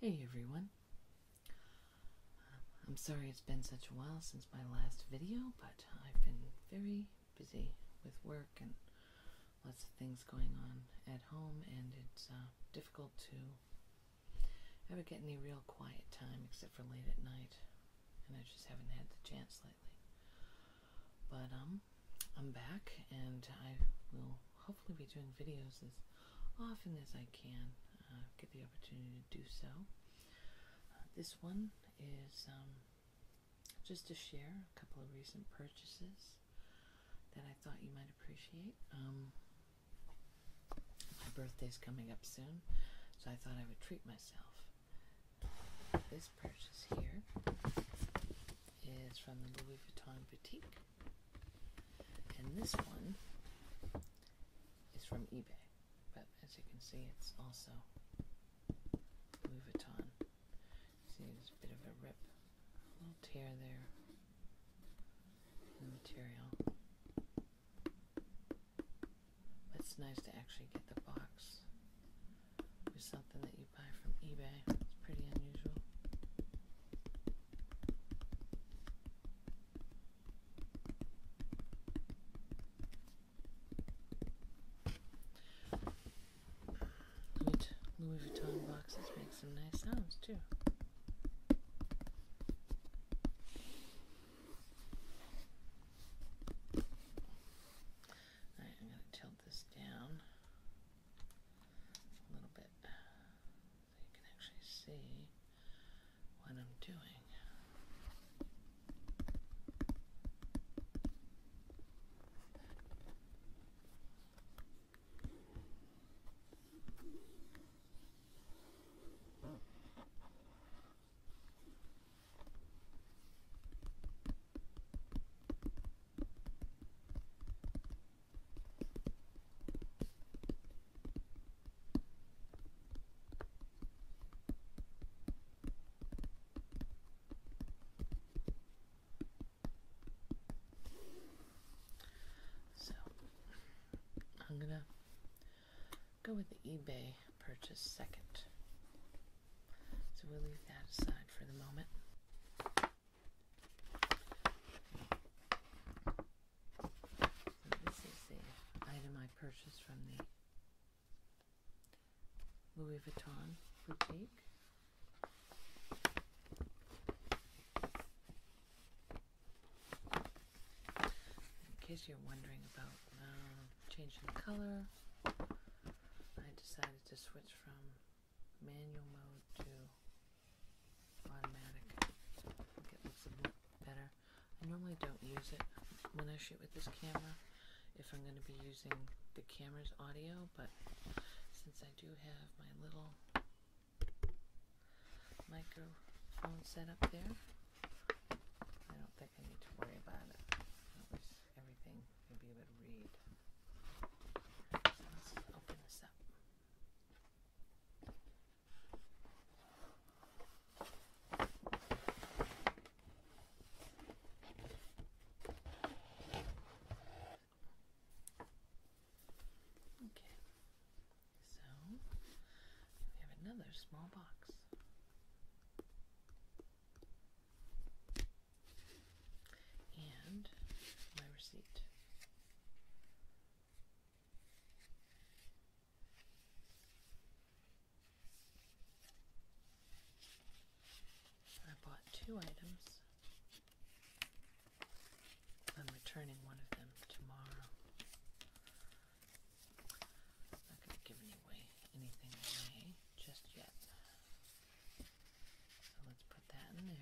Hey everyone. I'm sorry it's been such a while since my last video, but I've been very busy with work and lots of things going on at home, and it's uh, difficult to ever get any real quiet time except for late at night, and I just haven't had the chance lately. But um, I'm back and I will hopefully be doing videos as often as I can uh, get the opportunity to do so. Uh, this one is um, just to share a couple of recent purchases that I thought you might appreciate. Um, my birthday's coming up soon, so I thought I would treat myself. This purchase here is from the Louis Vuitton Boutique. And this one is from eBay, but as you can see, it's also Louis Vuitton. See, there's a bit of a rip, a little tear there in the material. But it's nice to actually get the box with something that you buy from eBay. It's pretty unusual. Louis Vuitton boxes make some nice sounds too. Alright, I'm going to tilt this down a little bit so you can actually see what I'm doing. So I'm going to go with the eBay purchase second. So we'll leave that aside for the moment this is the item I purchased from the Louis Vuitton boutique. In case you're wondering about uh, changing the color, I decided to switch from manual mode to automatic. I think it looks a bit better. I normally don't use it when I shoot with this camera if I'm going to be using the camera's audio, but since I do have my little microphone set up there, I don't think I need to worry about it everything you'll be able to read. let's open this up. Okay, so we have another small box and my receipt. I bought two items. I'm returning one of them tomorrow. not going to give away, anything away just yet. So let's put that in there.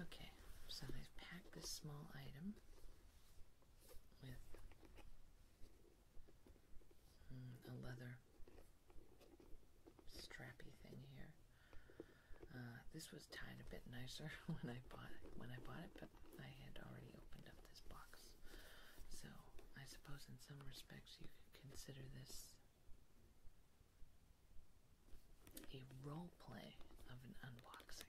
Okay. so I've packed this small item with mm, a leather strappy thing here. Uh, this was tied a bit nicer when I bought it, when I bought it, but I had already opened up this box. So I suppose in some respects you could consider this a role play of an unboxing.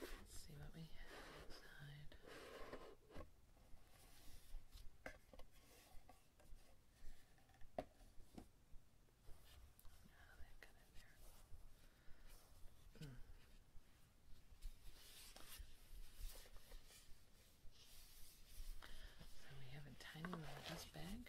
Let's see what we have inside. So we have a tiny little dust bag.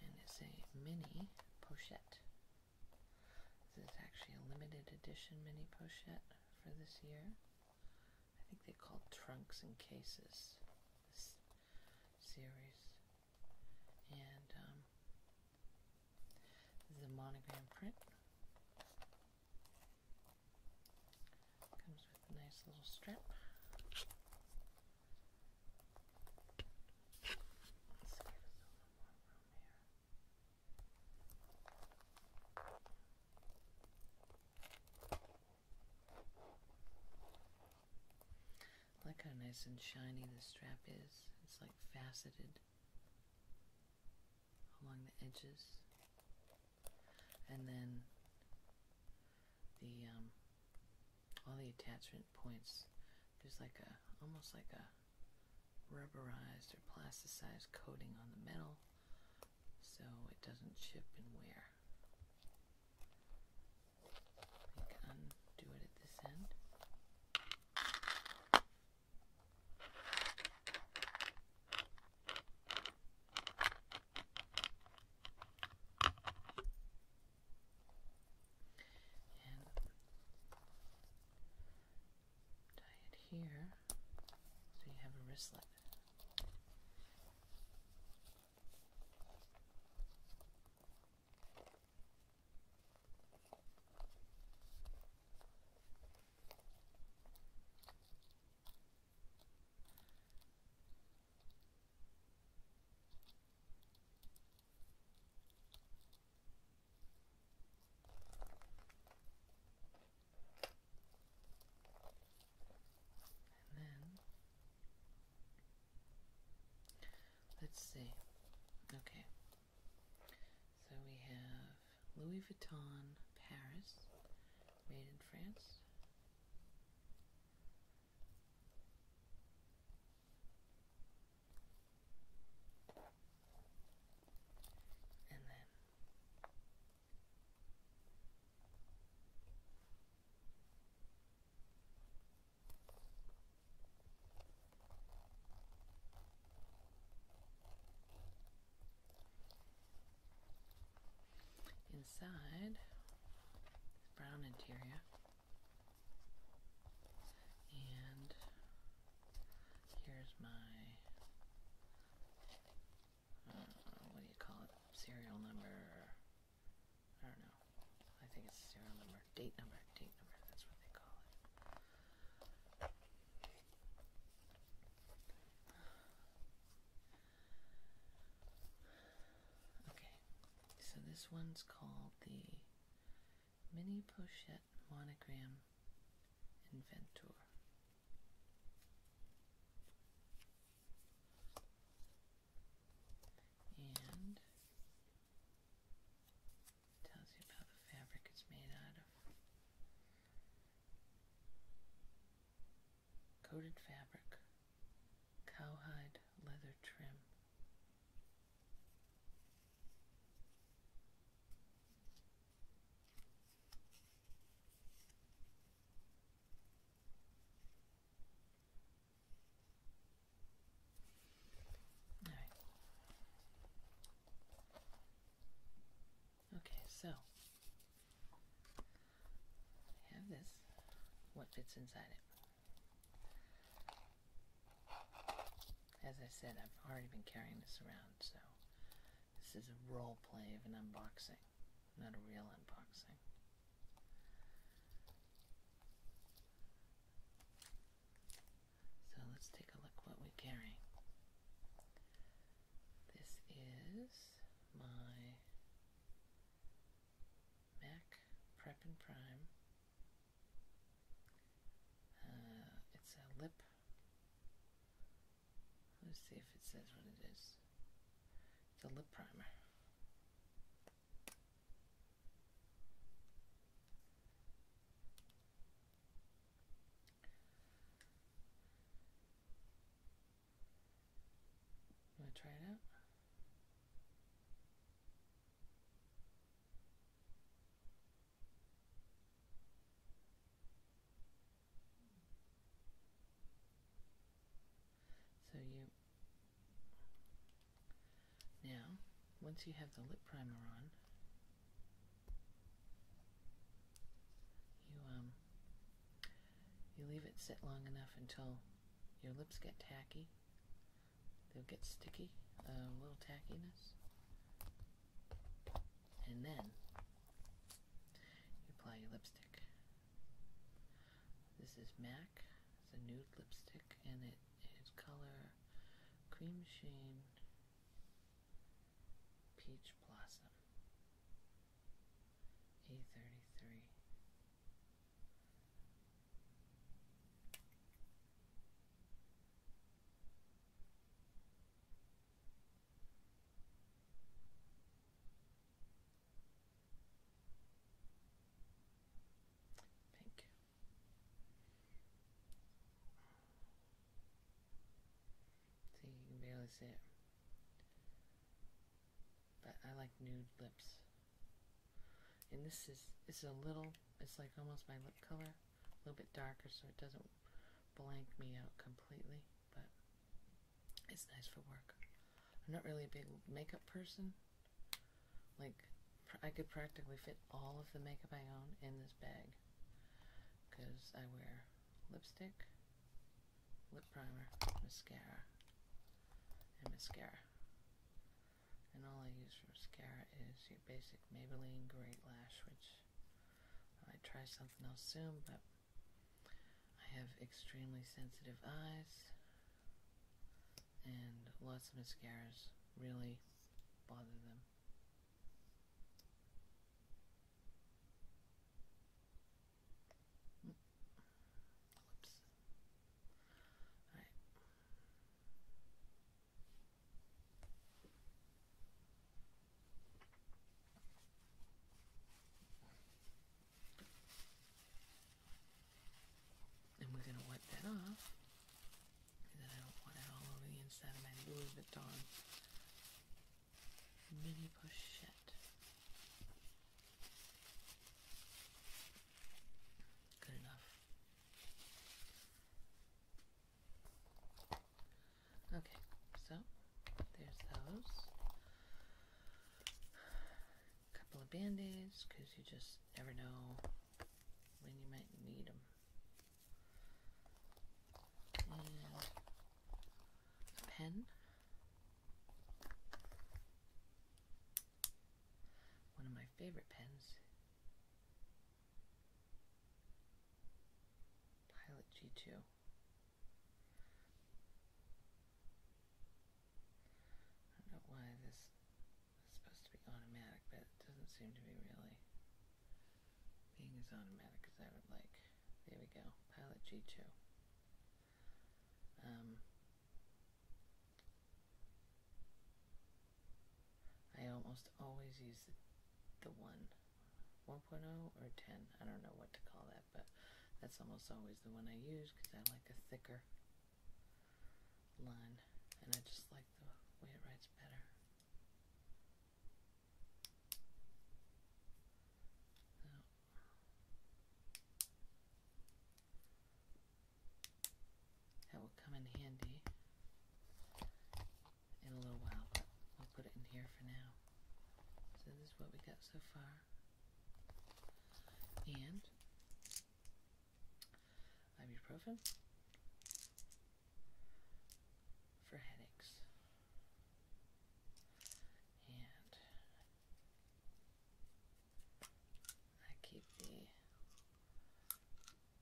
and it's a mini pochette. This is actually a limited edition mini pochette for this year. I think they called Trunks and Cases this series. And um, this is a monogram print. Comes with a nice little strap like how nice and shiny the strap is. It's like faceted along the edges. And then the um, all the attachment points. There's like a almost like a rubberized or plasticized coating on the metal so it doesn't chip and wear. You can undo it at this end and tie it here so you have a wristlet then let's see. Okay. So we have Louis Vuitton Paris, made in France. And then inside brown interior and here's my uh, what do you call it? Serial number. I don't know. I think it's serial number, date number, date number. That's what they call it. Okay, so this one's called the Mini Pochette Monogram Inventor. And tells you about the fabric it's made out of coated fabric, cowhide leather trim. All right. Okay, so have this. What fits inside it? As I said, I've already been carrying this around, so this is a role play of an unboxing, not a real unboxing. So let's take a look what we carry. This is my Mac Prep and Prime. Uh, it's a lip. Let's see if it says what it is. It's a lip primer. Want to try it out? So you now, once you have the lip primer on, you um you leave it sit long enough until your lips get tacky. They'll get sticky, a little tackiness. And then you apply your lipstick. This is MAC. It's a nude lipstick and it is color Cream shade Peach Blossom. E33 Thank. See, you can barely see it but I like nude lips. And this is it's a little it's like almost my lip color, a little bit darker so it doesn't blank me out completely, but it's nice for work. I'm not really a big makeup person. Like I could practically fit all of the makeup I own in this bag because I wear lipstick, lip primer, mascara, and mascara. And all I use for mascara is your basic Maybelline Great Lash, which I try something else soon, but I have extremely sensitive eyes, and lots of mascaras really bother them. And we're going to wipe that off. then I don't want it all over the inside of my Louis Vuitton mini pochette. Good enough. Okay, so there's those. A couple of band aids because you just never know when you might need them a pen. One of my favorite pens. Pilot G2. I don't know why this is supposed to be automatic, but it doesn't seem to be really being as automatic as I would like. There we go, Pilot G2. Um, I almost always use the, 1, 1.0 or 10. I don't know what to call that, but that's almost always the one I use because I like a thicker line and I just like the way it writes better. That will come in handy in a little while, but we'll put it in here for now. So this is what we got so far. And ibuprofen for headaches and I keep the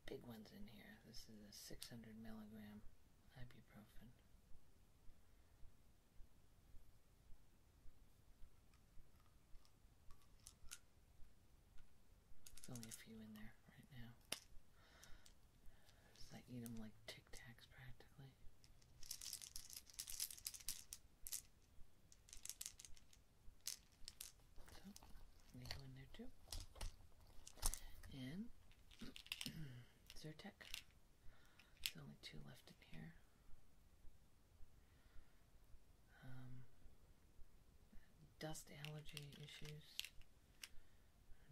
big ones in here. This is a 600 milligram ibuprofen. There's only a few in there right now. So I eat them like Tic Tacs practically. So they go in there too. And Zyrtec. There's only two left in here. Um, dust allergy issues.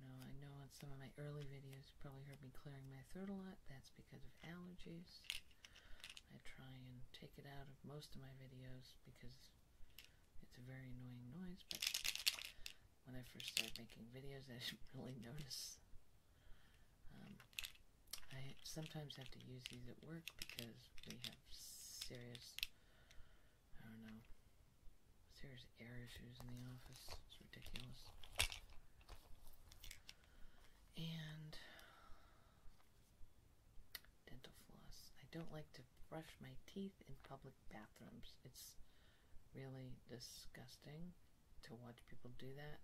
No, I know in some of my early videos you probably heard me clearing my throat a lot. That's because of allergies. I try and take it out of most of my videos because it's a very annoying noise, but when I first started making videos, I didn't really notice. Um, I sometimes have to use these at work because we have serious, I don't know, there's air issues in the office. It's ridiculous. And dental floss. I don't like to brush my teeth in public bathrooms. It's really disgusting to watch people do that.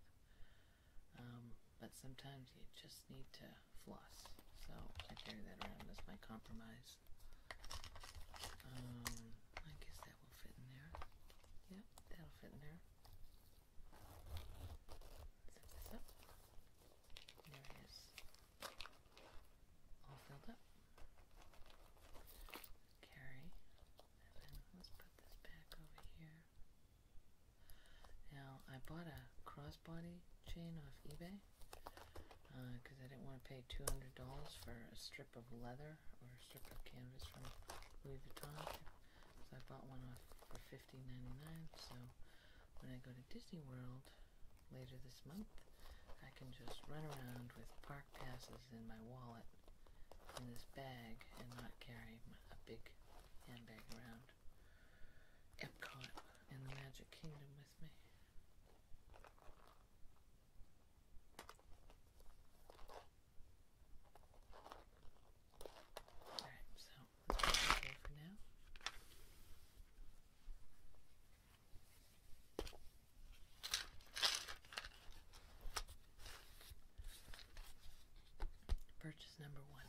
Um, but sometimes you just need to floss. So I carry that around as my compromise. Um, I guess will fit in there. Yep, that'll fit in there. Set this up. There it is. All filled up. Carry. let's put this back over here. Now, I bought a crossbody chain off eBay because uh, I didn't want to pay $200 for a strip of leather or strip of canvas from Louis Vuitton. So I bought one off for $15.99. So when I go to Disney World later this month, I can just run around with park passes in my wallet in this bag and not carry a big handbag around. Epcot and the Magic Kingdom with me. Alright, so that's okay for now. Purchase number one.